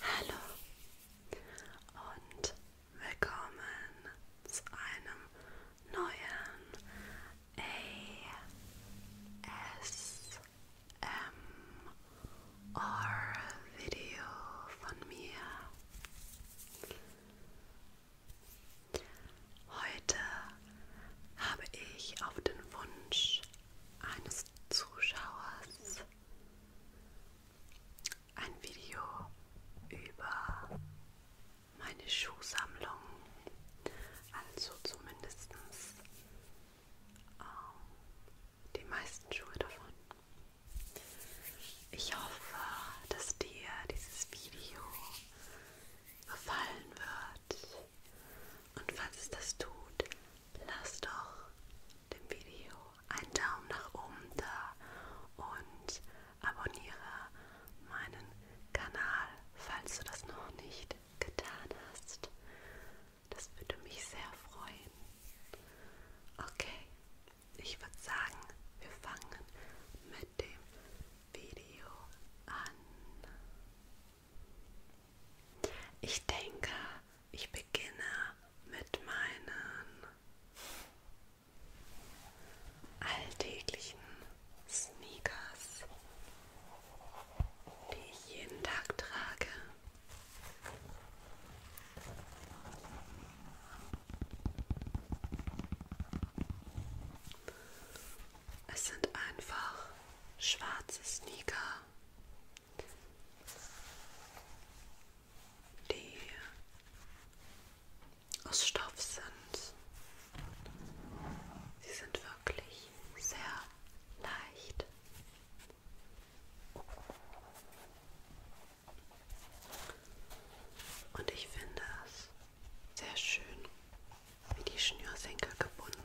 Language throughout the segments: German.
Hallo und willkommen zu einem neuen ASMR-Video von mir. Heute habe ich auf den Wunsch eines Zuschauers ein Video über meine Schuhsammlung, also zumindest ähm, die meisten Schuhe davon. Ich hoffe, dass dir dieses Video gefallen wird und falls es das tut, lasst doch dem Video einen Daumen nach oben da und abonniere meinen Kanal, falls du das noch nicht getan hast. Das würde mich sehr freuen. Okay, ich würde sagen, wir fangen mit dem Video an. Ich denke, ich beginne mit meinen alltäglichen Sneakers, die ich jeden Tag trage. Es sind einfach schwarze Sneaker die aus Stoff sind. Sie sind wirklich sehr leicht. Und ich finde es sehr schön, wie die Schnürsenkel gebunden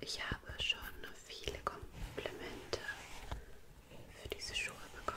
Ich habe schon viele Komplimente für diese Schuhe bekommen.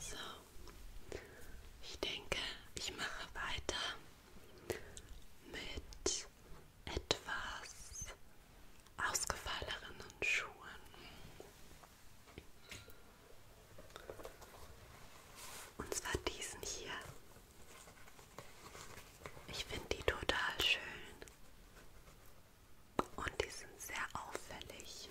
So, ich denke, ich mache weiter mit etwas ausgefalleneren Schuhen. Und zwar diesen hier. Ich finde die total schön. Und die sind sehr auffällig.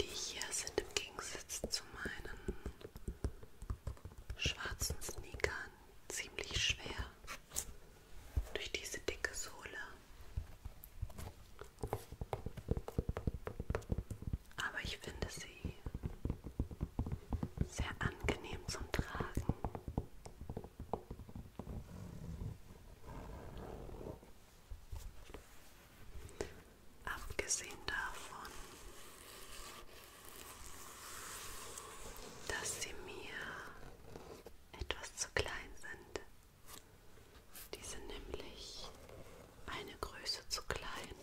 die hier sind im Gegensatz zu meinen schwarzen Sneakern ziemlich schwer durch diese dicke Sohle. Aber ich finde sie sehr angenehm zum Tragen. Abgesehen davon, dass sie mir etwas zu klein sind. Die sind nämlich eine Größe zu klein,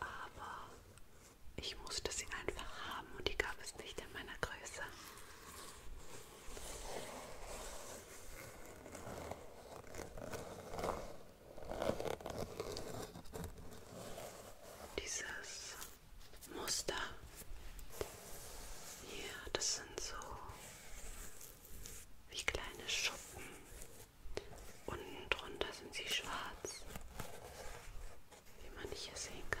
aber ich musste sie einfach haben und die gab es nicht in meiner Größe. Dieses Muster hier, das sind so wie kleine Schuppen. Unten drunter sind sie schwarz, wie man hier sehen kann.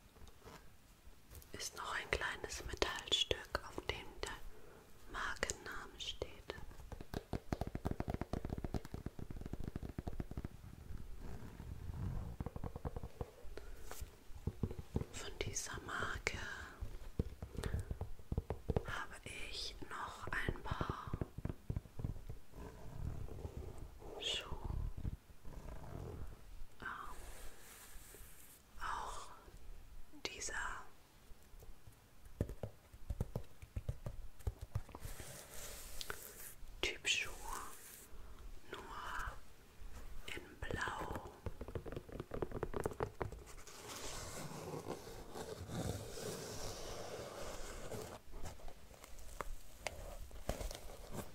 ist noch ein kleines Metallstück, auf dem der Markenname steht. Von dieser Marke habe ich noch ein paar Schuhe ähm, auch dieser Typ Schuhe nur in Blau.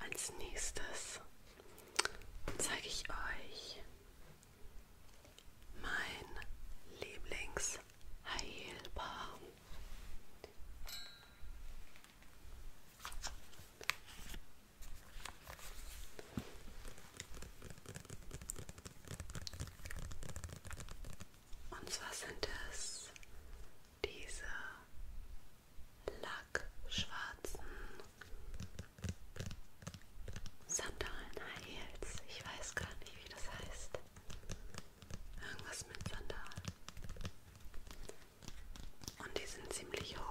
Als nächstes zeige ich euch mein Lieblingsheilbar. Und zwar sind es diese lackschwarzen Sandalen High Heels. Ich weiß gar nicht, wie das heißt. Irgendwas mit Sandalen. Und die sind ziemlich hoch.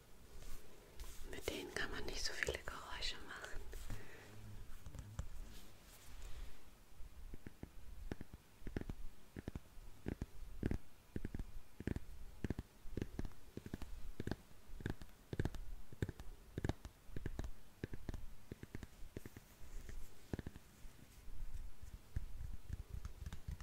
Mit denen kann man nicht so viele Geräusche machen.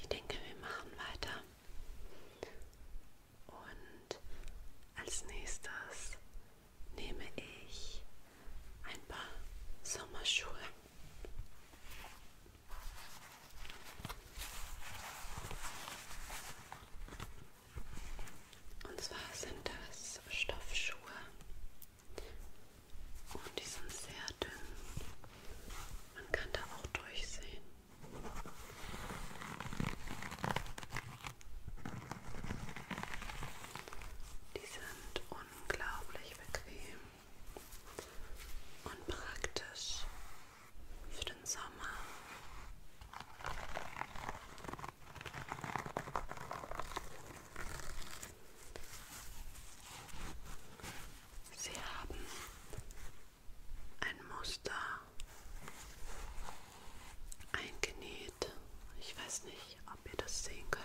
Ich denke, wir machen weiter. Und als nächstes nehme ich ein paar Sommerschuhe. Und zwar sind das Stoffschuhe und die sind sehr dünn. Man kann da auch durchsehen. Die sind unglaublich bequem und praktisch für den Sommer. Sie haben ein Muster eingenäht. Ich weiß nicht, ob ihr das sehen könnt.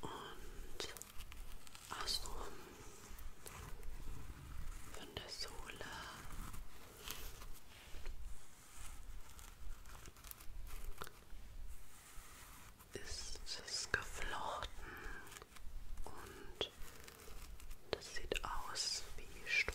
und außenrum von der Sohle ist es geflochten und das sieht aus wie Stroh.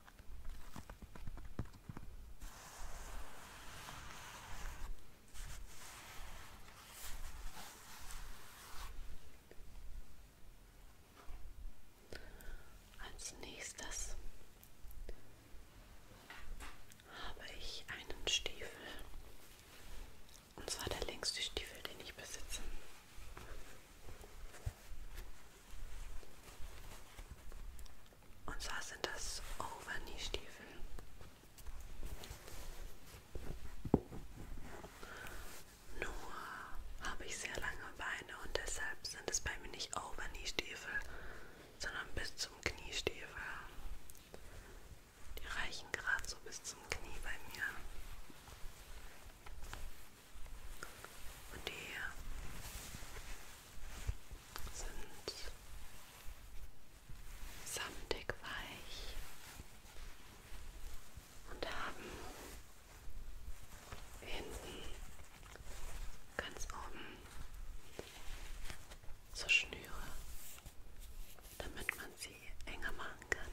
Als nächstes habe ich einen Stiefel. Und zwar der längste Stiefel, den ich besitze. Und zwar sind das Overknee-Stiefel. Nur habe ich sehr lange Beine und deshalb sind es bei mir nicht Overknee-Stiefel, sondern bis zum Kniestiefel. Die reichen gerade so bis zum Knie bei mir. Und hier sind samtig weich und haben hinten ganz oben so Schnüre, damit man sie enger machen kann.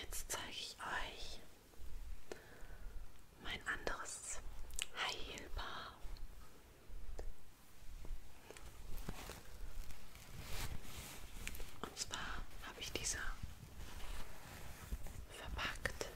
Jetzt zeige ich euch mein anderes Heilbar. Und zwar habe ich diese verpackt.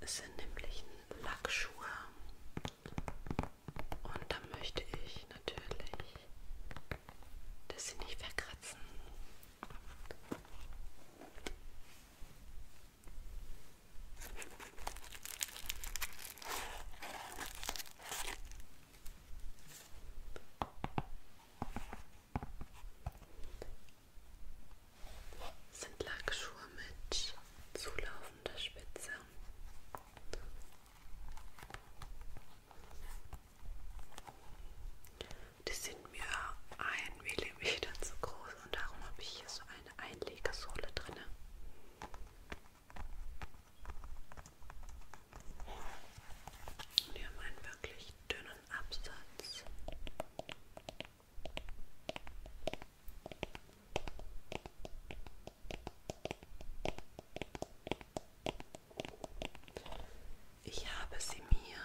Es sind nämlich Lackschuhe und da möchte ich natürlich, dass sie nicht verkratzen. Sind Lackschuhe mit zulaufender Spitze. Die sind mir ein Millimeter zu groß und darum habe ich hier so eine Einlegesohle drin. Und die haben einen wirklich dünnen Absatz. Ich habe sie mir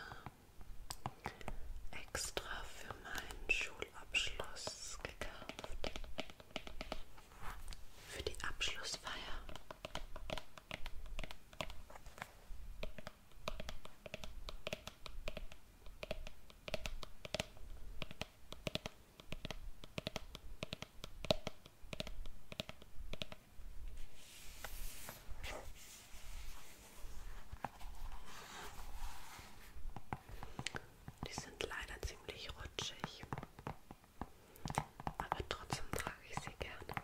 extra für meinen Schulabschluss gekauft. Für die Abschlussfeier. Die sind leider ziemlich rutschig. Aber trotzdem trage ich sie gerne. Hm.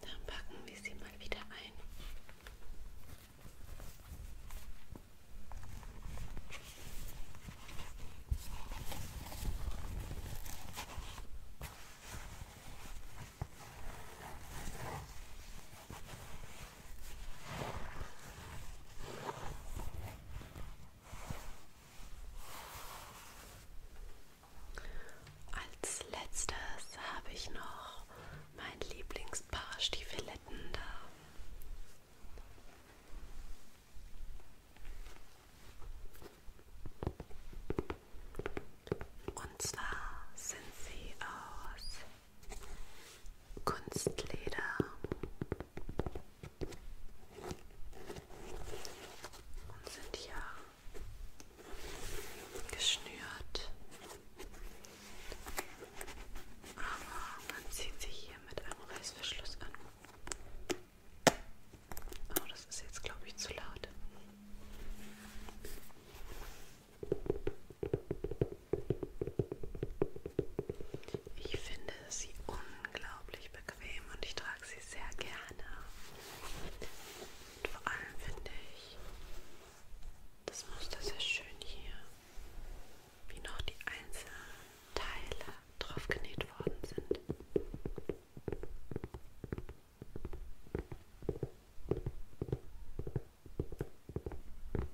Dann packen wir sie mal wieder ein. Als letztes habe ich noch mein Lieblingspaar Stiefeletten da. Und zwar sind sie aus Kunstleder und sind hier geschnürt. Aber man zieht sie hier mit einem Reißverschluss an. Oh, das ist jetzt, glaube ich, zu laut. Ich finde sie unglaublich bequem und ich trage sie sehr gerne. Und vor allem finde ich das Muster sehr schön hier, wie noch die einzelnen Teile drauf genäht worden sind.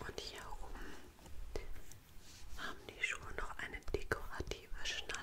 Und hier oben haben die Schuhe noch eine dekorative Schnalle.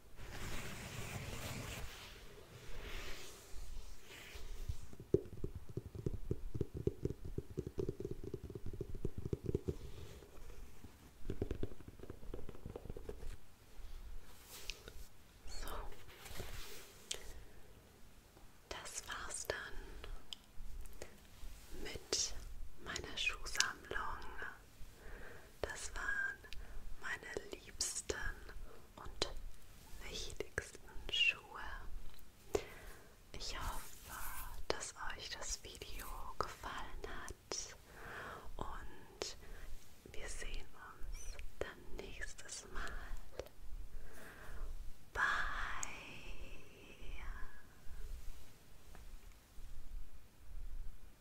So. Das war's dann mit meiner Schuhsammlung. Das waren meine liebsten und wichtigsten Schuhe. Ich hoffe, dass euch das Video gefallen hat und wir sehen uns dann nächstes Mal. Bye.